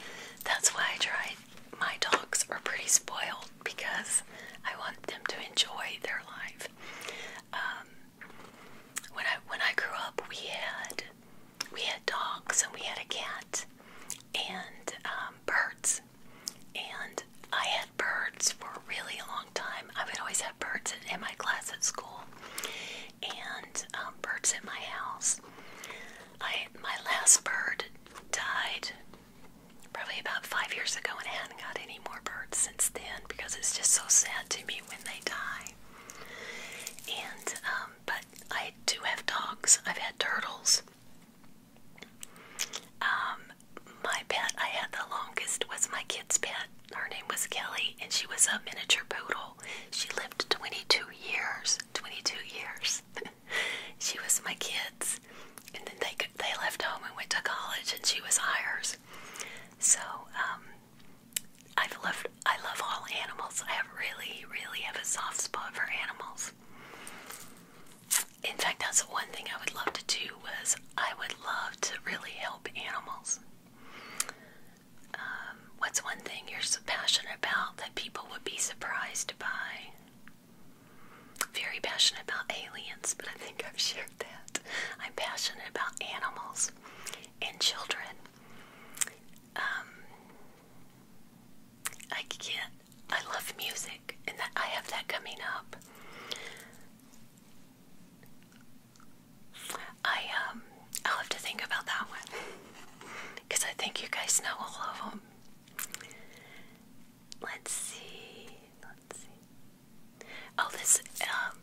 that's why I try. My dogs are pretty spoiled because I want them to enjoy their life. Um, when I when I grew up, we had we had dogs and we had a cat and um, birds, and I had birds for a really long time. I would always have birds in my class at school, and um, birds in my house. I my last bird died probably about five years ago, and I have not got any more birds since then because it's just so sad to me when they die. And um, but I do have dogs. I've had turtles. Um, my pet I had the longest was my kid's pet her name was Kelly, and she was a miniature poodle. She lived 22 years. 22 years. she was my kids, and then they they left home and went to college, and she was ours. So um, I've loved I love all animals. I have really really have a soft spot for animals. In fact, that's one thing I would love to do was I would love to really help animals. Um, what's one thing you're so passionate about that people would be surprised by? Very passionate about aliens, but I think I've shared that. I'm passionate about animals and children. Um, I can't. I love music, and that I have that coming up. I um I'll have to think about that one because I think you guys know all of them. Let's see. Let's see. Oh, this. Um,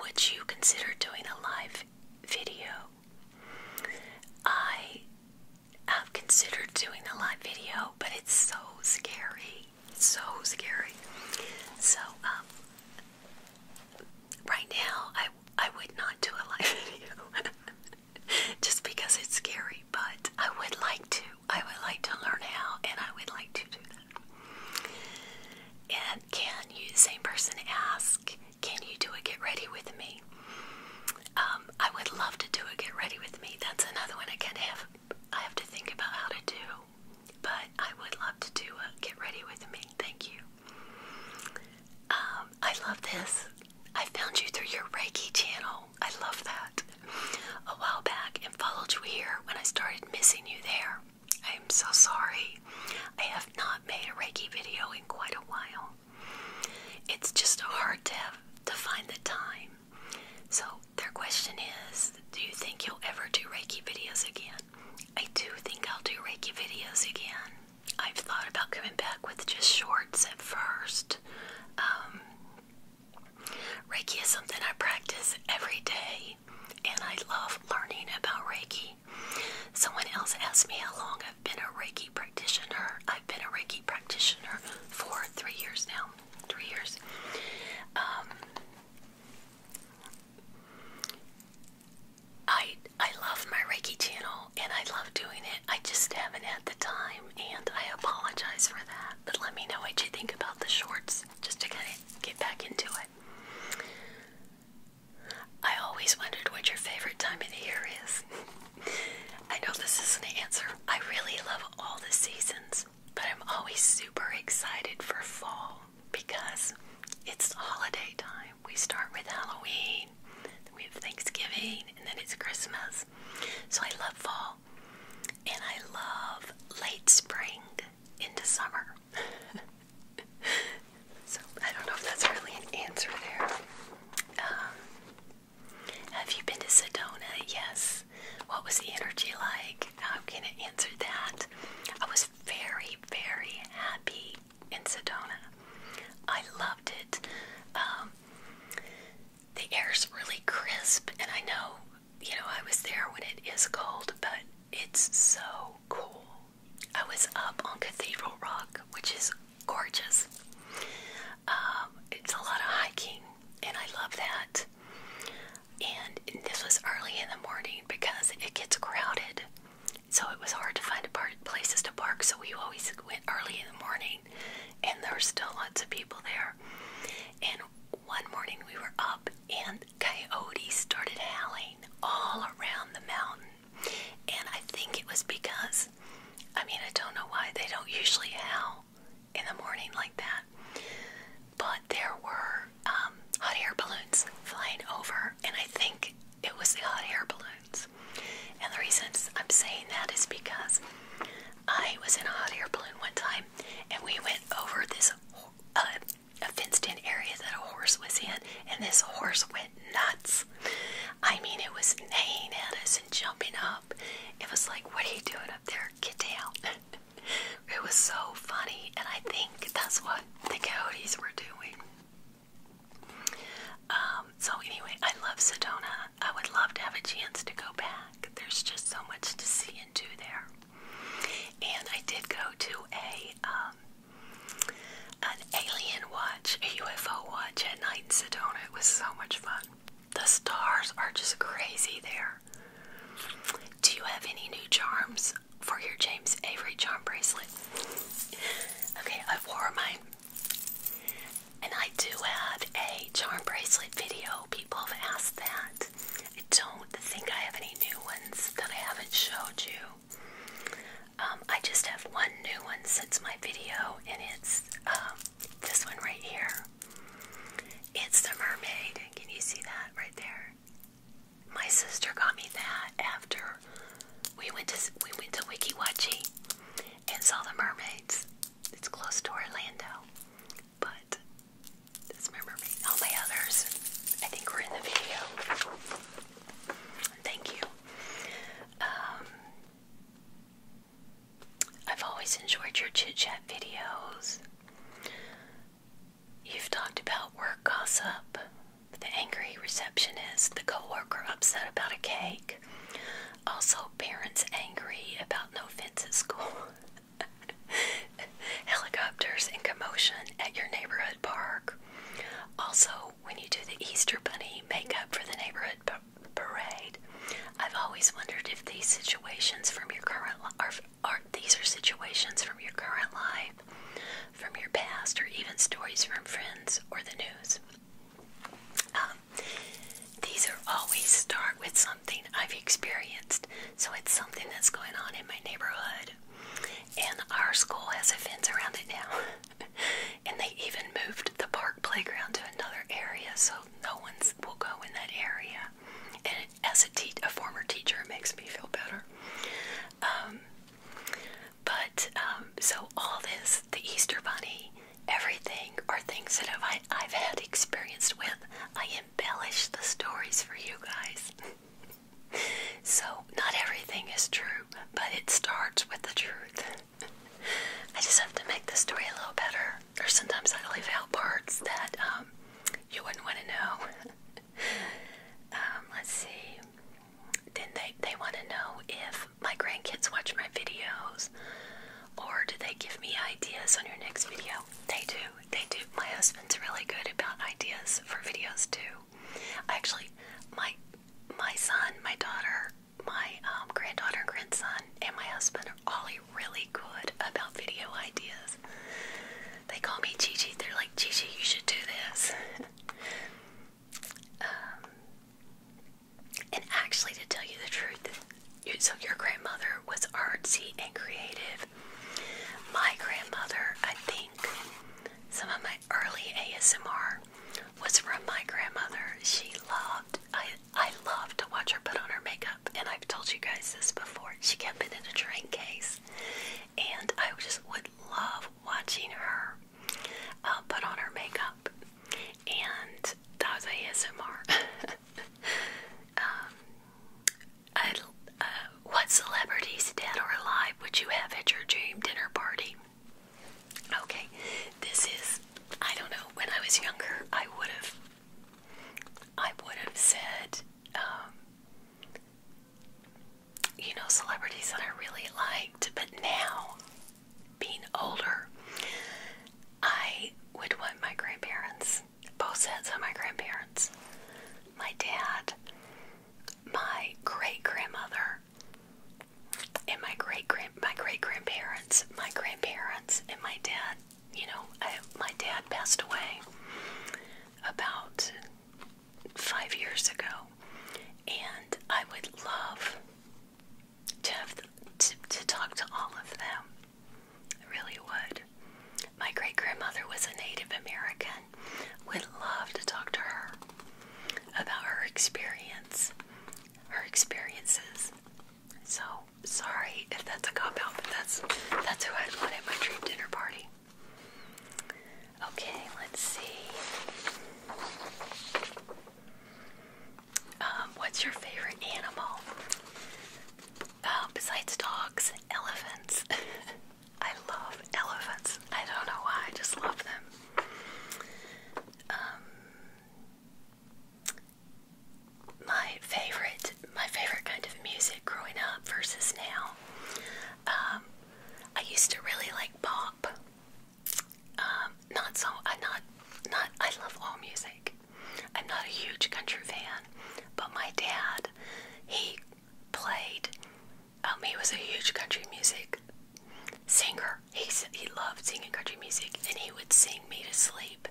would you consider doing a live video? I have considered doing a live video, but it's so scary. so scary. So um right now I I would not do a live video just because it's scary, but I would like to. I would like to learn how and I would like to do that. And can you same person ask, can you do a get ready with me? Um, I would love to do a get ready with me. That's another one I can not have I have to think about how to do. But I would love to do a get ready with me. Thank you. Um, I love this. I found you through your Reiki channel. I love that. A while back and followed you here when I started missing you there. I am so sorry. I have not made a Reiki video in quite a while. It's just hard to have, to find the time. So their question is, do you think you'll ever do Reiki videos again? I do think I'll do Reiki videos again. I've thought about coming back with just shorts at first. Um, Reiki is something I practice every day, and I love learning about Reiki. Someone else asked me how long I've been a Reiki practitioner. I've been a Reiki practitioner for three years now. Three years. Um, I I love my Reiki channel and I love doing it. I just haven't had the time and I apologize for that. But let me know what you think about the shorts just to kind of get back into it. I always wondered what your favorite time of the year is. I know this isn't an answer. I really love all the seasons, but I'm always super excited for fall because it's holiday time we start with Halloween, we have Thanksgiving, and then it's Christmas. So I love fall, and I love late spring into summer. so I don't know if that's really an answer there. Um, have you been to Sedona? Yes. What was the energy like? I'm gonna answer that. I was very, very happy in Sedona. I loved it. Um, the air is really crisp, and I know, you know, I was there when it is cold, but it's so cool. I was up on Cathedral Rock, which is gorgeous. Um, it's a lot of hiking, and I love that. And this was early in the morning because it gets crowded so it was hard to find places to park. So we always went early in the morning, and there were still lots of people there. And one morning we were up, and coyotes started howling all around the mountain. And I think it was because, I mean, I don't know why they don't usually howl in the morning like that. But there were um, hot air balloons flying over, and I think it was the hot air balloons. And the reason I'm saying that is because I was in a hot air balloon one time and we went over this uh, fenced in area that a horse was in, and this horse went nuts. I mean, it was neighing at us and jumping up. It was like, What are you doing up there? Get down. it was so funny, and I think that's what the coyotes were doing. Um, so anyway, I love Sedona. I would love to have a chance to go back. There's just so much to see and do there. And I did go to a um, an alien watch, a UFO watch at night in Sedona. It was so much fun. The stars are just crazy there. Do you have any new charms? for your James Avery charm bracelet. Okay, I wore mine. And I do have a charm bracelet video. People have asked that. I don't think I have any new ones that I haven't showed you. Um, I just have one new one since my video, and it's um, this one right here. It's the mermaid. Can you see that right there? My sister got me that after we went to we went to Wikiwachi and saw the mermaids. It's close to Orlando, but that's my mermaid. All my others, I think, were in the video. Thank you. Um, I've always enjoyed your chit chat videos. You've talked about work gossip, the angry receptionist, the co-worker upset about a cake, also parents angry about no fence at school, helicopters and commotion at your neighborhood park. Also, when you do the Easter Bunny makeup for the neighborhood parade, I've always wondered if these situations from your current life are these are situations from your current life from your past, or even stories from friends or the news. Um, these are always start with something I've experienced, so it's something that's going on in my neighborhood. And our school has a fence around it now. and they even moved the park playground to another area, so no one's will go in that area. And as a, te a former teacher, it makes me feel better. Um, but um, so all this, the Easter Bunny, everything are things that I've, had experience with. I embellish the stories for you guys. so not everything is true, but it starts with the truth. I just have to make the story a little better. Or sometimes I leave out parts that um, you wouldn't want to know. Um, let's see. Then they, they want to know if my grandkids watch my videos or do they give me ideas on your next video. They do. They do. My husband's really good about ideas for videos too. Actually, my my son, my daughter, my um, granddaughter and grandson, and my husband are all really good about video ideas. They call me Gigi. They're like, Gigi, you should do this. Um, and actually, to tell you the truth, so your grandmother was artsy and creative. My grandmother, I think, some of my early ASMR was from my grandmother. She loved, I, I loved to watch her put on her makeup, and I've told you guys this before. She kept it in a train case, and I just would love watching her uh, put on her makeup, and that was ASMR. um, I, uh, what celebrities, dead or alive, would you have at your dream dinner party? Okay, this is, I don't know, when I was younger, I would have, I would have said, um, you know, celebrities that I really liked, but now, being older, I would want my grandparents, both sets of my grandparents, my dad, my great grandmother, and my great grand my great grandparents, my grandparents, and my dad. You know, my dad passed away about five years ago, and I would love to have to, talk to all of them. I really would. My great grandmother was a Native American. Would love to talk to her about her experience, her experiences. So sorry if that's a cop out, but that's that's who I'd want at my dream dinner party. Okay, let's see. Um, what's your favorite animal? Uh, besides dogs, elephants. I love elephants. I don't know why, I just love them. Um, my favorite, my favorite kind of music growing up versus now. Um, I used to really like pop. Um, not so. I uh, not not. I love all music. I'm not a huge country fan, but my dad, he played. Um, he was a huge country music singer. He he loved singing country music, and he would sing me to sleep.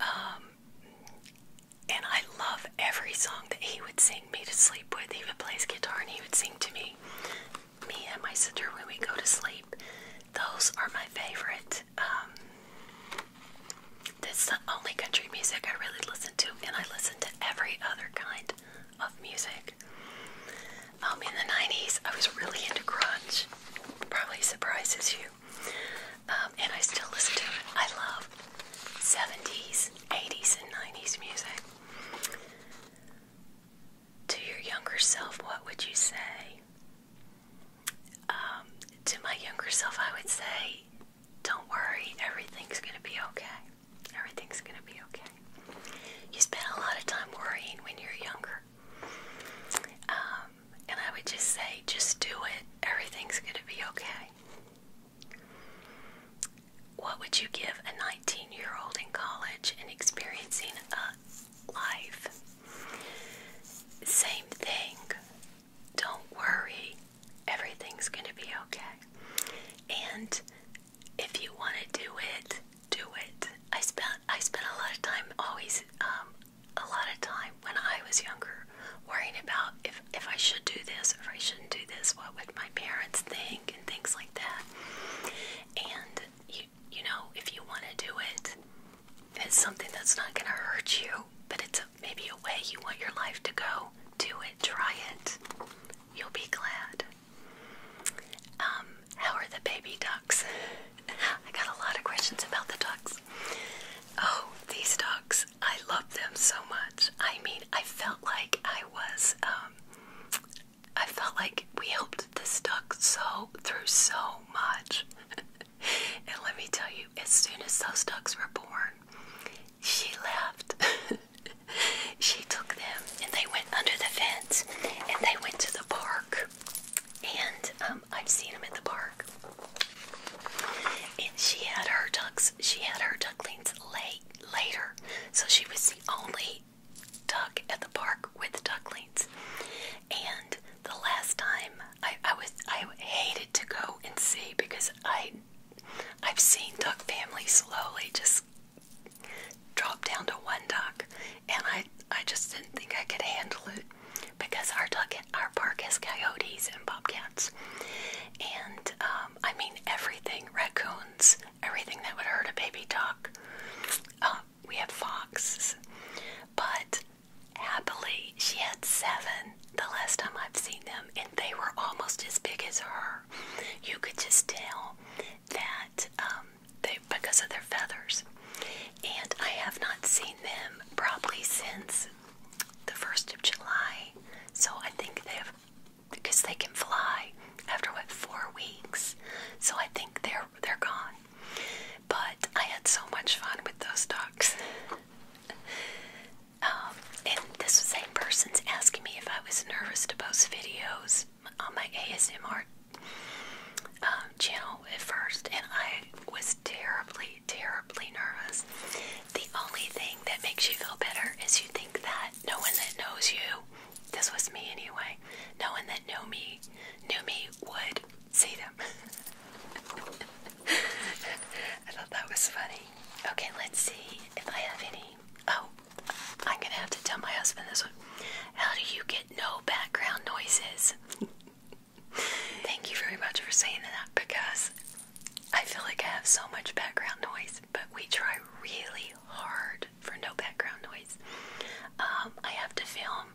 Um, and I love every song that he would sing me to sleep with. He would play his guitar and he would sing to me me and my sister when we go to sleep. Those are my favorite. Um, that's the only country music I really listen to, and I listen to every other kind of music. Um, in the 90s, I was really into grunge. Probably surprises you. Um, and I still listen to it. I love 70s, 80s, and 90s music. To your younger self, what would you say? Um, to my younger self, I would say, don't worry, everything's going to be okay. Everything's going to be okay. You spend a lot of time worrying when you're younger. Um, and I would just say, just do it. Everything's going to be okay what would you give a 19 year old in college and experiencing a life? Same thing. Don't worry, everything's going to be okay. And if you want to do it, do it. I spent I spent a lot of time always um, a lot of time when I was younger worrying about if if I should do this or I shouldn't do this. What would my parents think? music and things like that. And you you know, if you want to do it, it's something that's not going to hurt you, but it's a, maybe a way you want your life to go. Do it, try it. You'll be glad. Um, how are the baby ducks? I got a lot of questions about the ducks. Oh, these ducks. I love them so much. I mean, I felt like I was um I felt like we helped this duck so through so much. and let me tell you, as soon as those ducks were born, she left. she took them and they went under the fence and they went to the park. And um, I've seen them at the park. And she had her ducks. She had her ducklings late later, so she was the only duck at the park with ducklings. And the last time I, I was I hated to go and see because I I've seen duck families slowly just drop down to one duck and I I just didn't think I could handle it because our duck our park has coyotes and bobcats and um, I mean everything raccoons everything that would hurt a baby duck hawk. Um, we had foxes, but happily she had seven the last time I've seen them, and they were almost as big as her. You could just tell that um, they because of their feathers. And I have not seen them probably since the first of July, so I think they've because they can fly after what four weeks. So I think they're they're gone. But I had so much fun with those ducks. Um, and this same person's asking me if I was nervous to post videos on my ASMR um, channel at first, and I was terribly, terribly nervous. The only thing that makes you feel better is you think that no one that knows you, this was me anyway, no one that knew me knew me would see them. I thought that was funny. Okay, let's see if I have any. Oh, I'm gonna have to tell my husband this one. How do you get no background noises? Thank you very much for saying that because I feel like I have so much background noise, but we try really hard for no background noise. Um, I have to film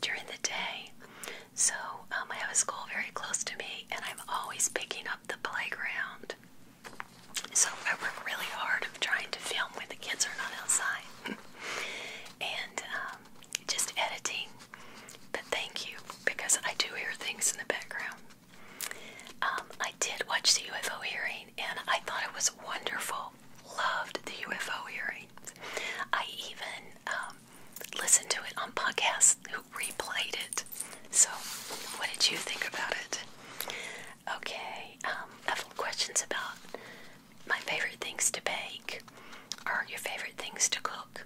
during the day, so um, I have a school very close to me, and I'm always picking up the playground. So I work really hard of trying to film when the kids are not outside, and um, just editing. But thank you because I do hear things in the background. I did watch the UFO hearing, and I thought it was wonderful loved the UFO hearings. I even um, listened to it on podcasts who replayed it. So, what did you think about it? Okay, um, I questions about my favorite things to bake Are your favorite things to cook.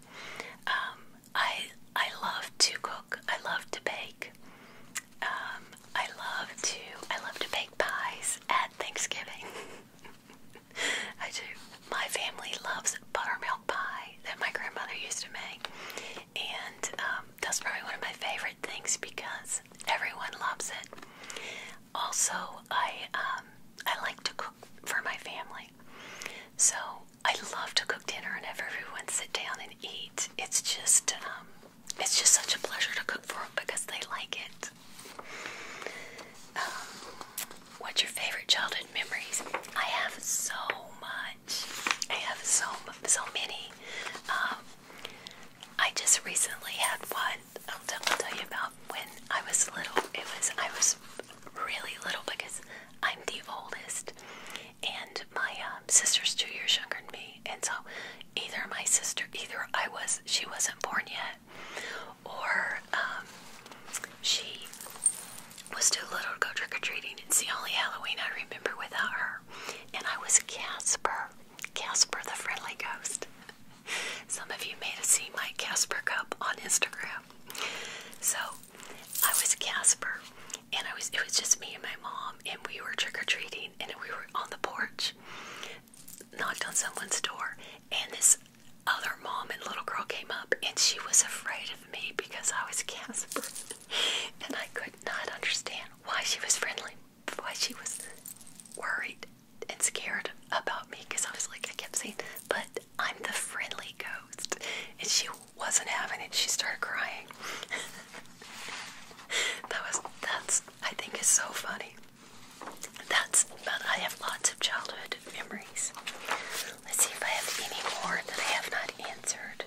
Um, I I love to cook. I love to bake. Um, I love to I love to bake pies at Thanksgiving. I do. My family loves buttermilk pie that my grandmother used to make, and um, that's probably one of my favorite things because everyone loves it. Also, I um, I like to cook for my family, so I love to cook dinner and have everyone sit down and eat. It's just it's just such a pleasure to cook for them because they like it. Um, what's your favorite childhood memories? I have so much. I have so so many. Um, I just recently had one. I'll, tell you about when I was little. It was I was really little because I'm the oldest, and my um, sister's two years younger than me. And so either my sister, either I was, she wasn't born yet, or um, she was too little to go trick or treating. It's the only Halloween I remember without her. And I was Casper, Casper the Friendly Ghost. Some of you may have seen my Casper cup on Instagram. So I was Casper, and I was it was just me and my mom, and we were trick or treating, and we were on the porch knocked on someone's door, and this other mom and little girl came up, and she was afraid of me because I was Casper, and I could not understand why she was friendly, why she was worried and scared about me because I was like, a kept but I'm the friendly ghost, and she wasn't having it. She started crying. that was that's I think is so funny. That's, but I have lots of childhood memories. Let's see if I have any more that I have not answered.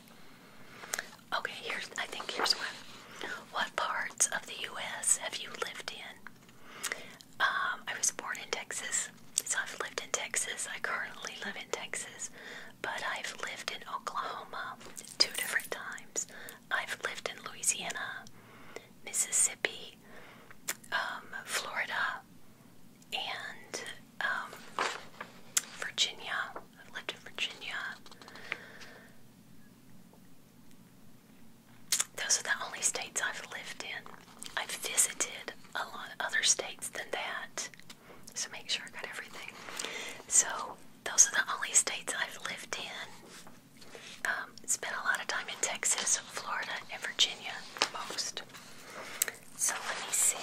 Okay, here's, I think here's one. What parts of the U.S. have you lived in? Um, I was born in Texas, so I've lived in Texas. I currently live in Texas, but I've lived in Oklahoma two different times. I've lived in Louisiana, Mississippi, um, Florida, and um, Virginia. I've lived in Virginia. Those are the only states I've lived in. I've visited a lot of other states than that. So make sure I got everything. So those are the only states I've lived in. Um, spent a lot of time in Texas, Florida, and Virginia, most. So let me see.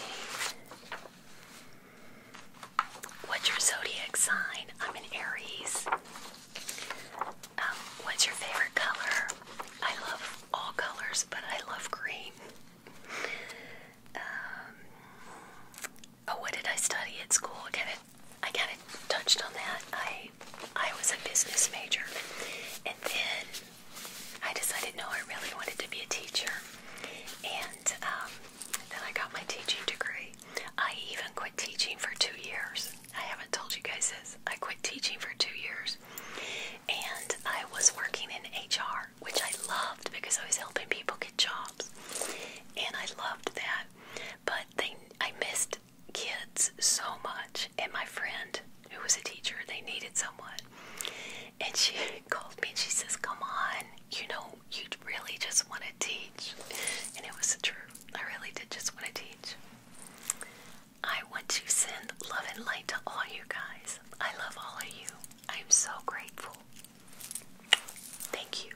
What's your zodiac sign? I'm an Aries. Um, what's your favorite color? I love all colors, but I love green. Um, Oh, what did I study at school? I kind of, I kind of touched on that. I, I was a business major, and then I decided no, I really wanted to be a teacher, and um, then I got my teaching degree. I even quit teaching for two years. I haven't told you guys this. I quit teaching for two years, and I was working in HR, which I loved because I was helping people get jobs, and I loved that. But they, I missed kids so much, and my friend who was a teacher, they needed someone, and she called me and she says, "Come on, you know, you really just want to teach," and it was true. I really did just want to teach. I want to send love and light to all you guys. I love all of you. I am so grateful. Thank you.